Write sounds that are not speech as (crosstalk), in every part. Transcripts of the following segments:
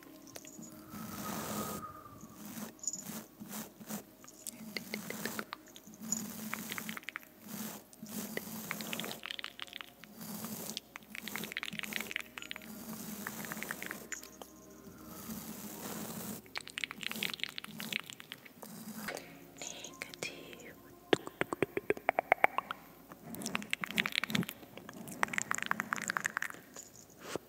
Negative.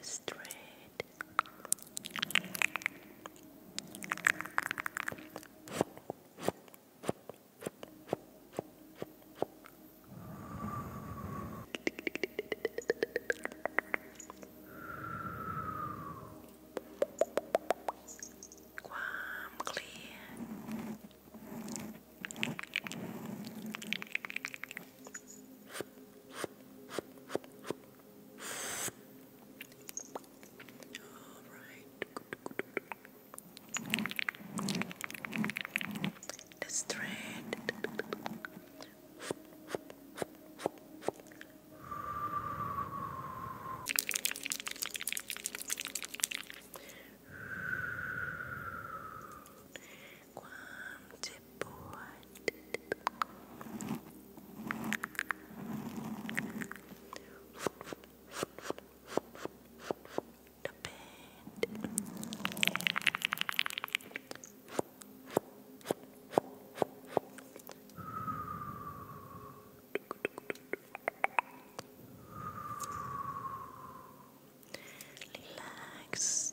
straight. Calm, all right. This thread. One, bored. Relax,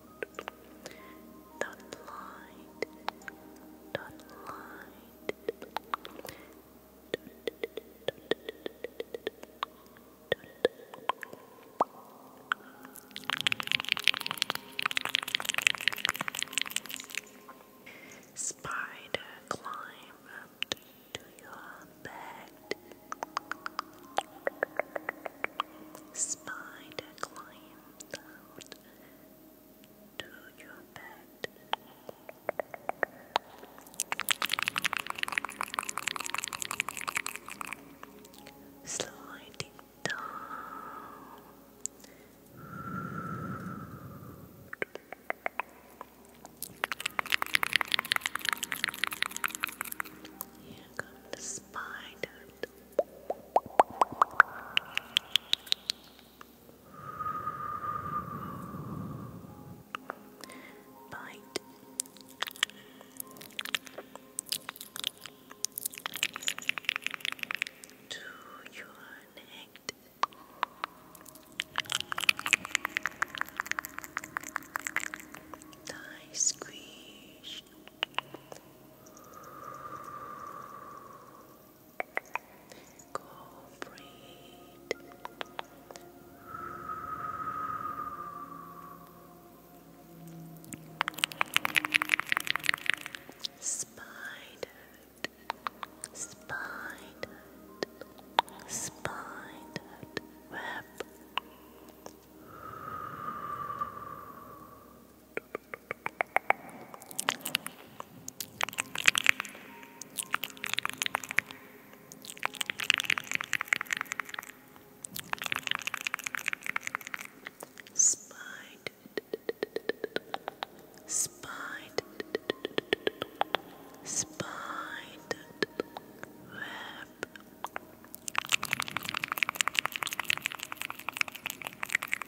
don't lie. do Spider climb up to your bed. Spider climb down to your bed. Sliding down. Here comes the spider. Bite. To your neck. Tie squeeze. Go breathe. Spidered, spidered, spidered web. Spine, spine, spine, web,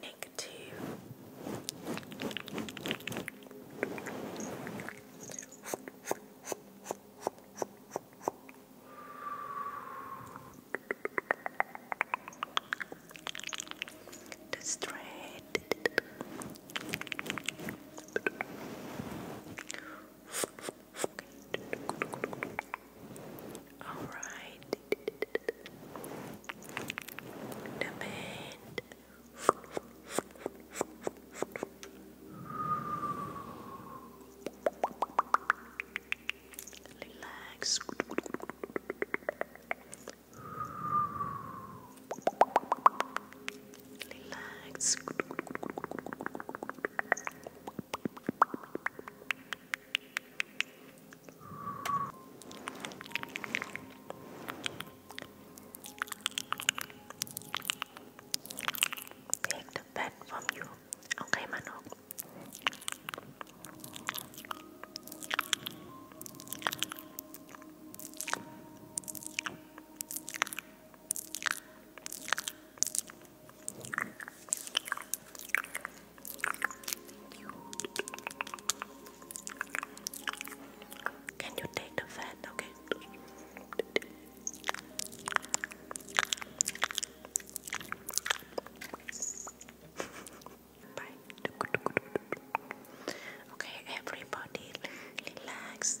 Negative. The straight all right. Demand. Relax. Relax. Take the bed from you. Okay, Manok. Can you take the fan? Okay. (laughs) Bye. Okay, everybody, relax.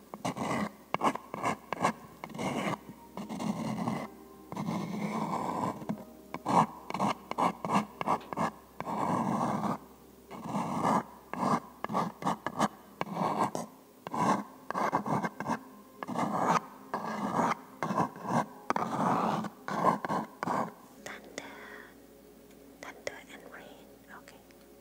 Thunder. Thunder and rain. Okay.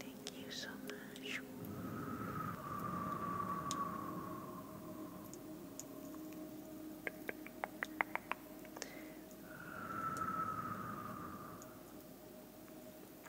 Thank you so much. Thank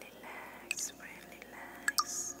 Relax, friend, Relax,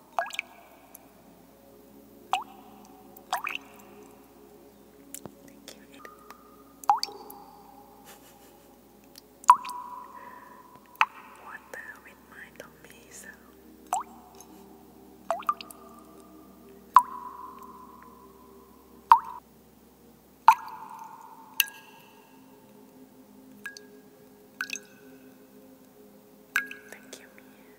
Thank you, Aiden. What the hell with my tummy sound? Thank you, Mia.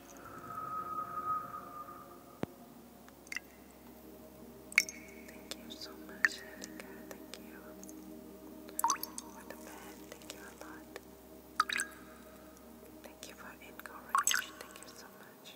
Thank you so much, Erica. Thank you for the bed. Thank you a lot. Thank you for encouraging. Thank you so much.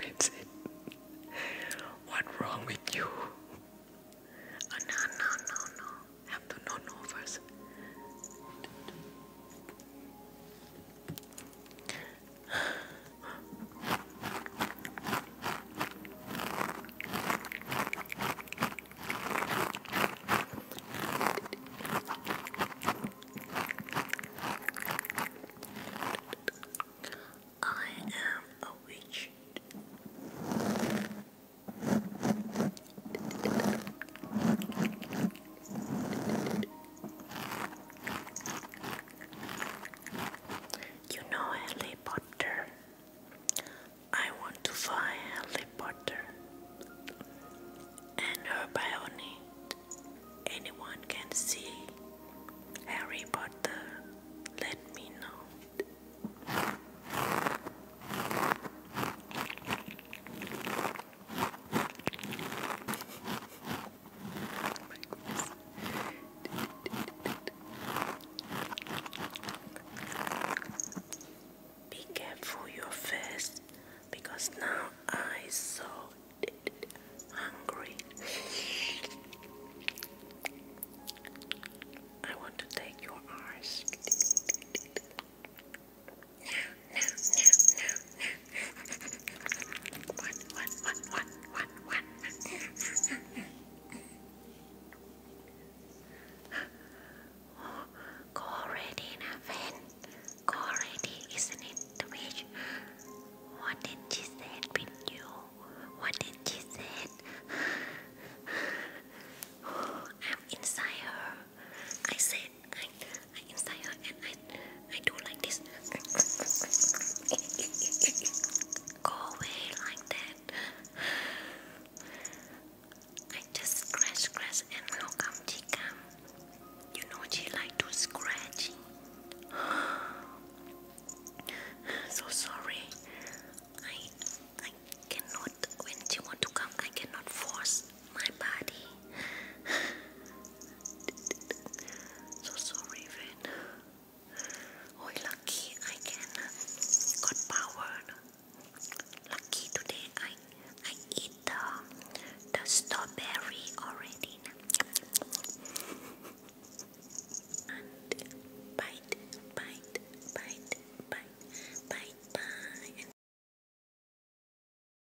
That's it. What's wrong with you? Oh, no, no, no, no. Have to know no first. I am a witch. You know Harry Potter. I want to find Harry Potter and her Anyone can see Harry Potter. Let me know. Be careful your face because now I so hungry. I want to take your eyes. Go already, Nathan. Go already, isn't it, the witch? What did she say with you? What did she say? I'm inside her. I said I, I am and I, I do like this. Go away like that. I just scratch, scratch, and how come she come? You know she like to scratch. so sorry. I I cannot when she want to come. I cannot force my body. so sorry, Raven. Oh, lucky I can got power. Lucky today I I eat the the strawberry already. and bite, bite, bite, bite, bite, bite.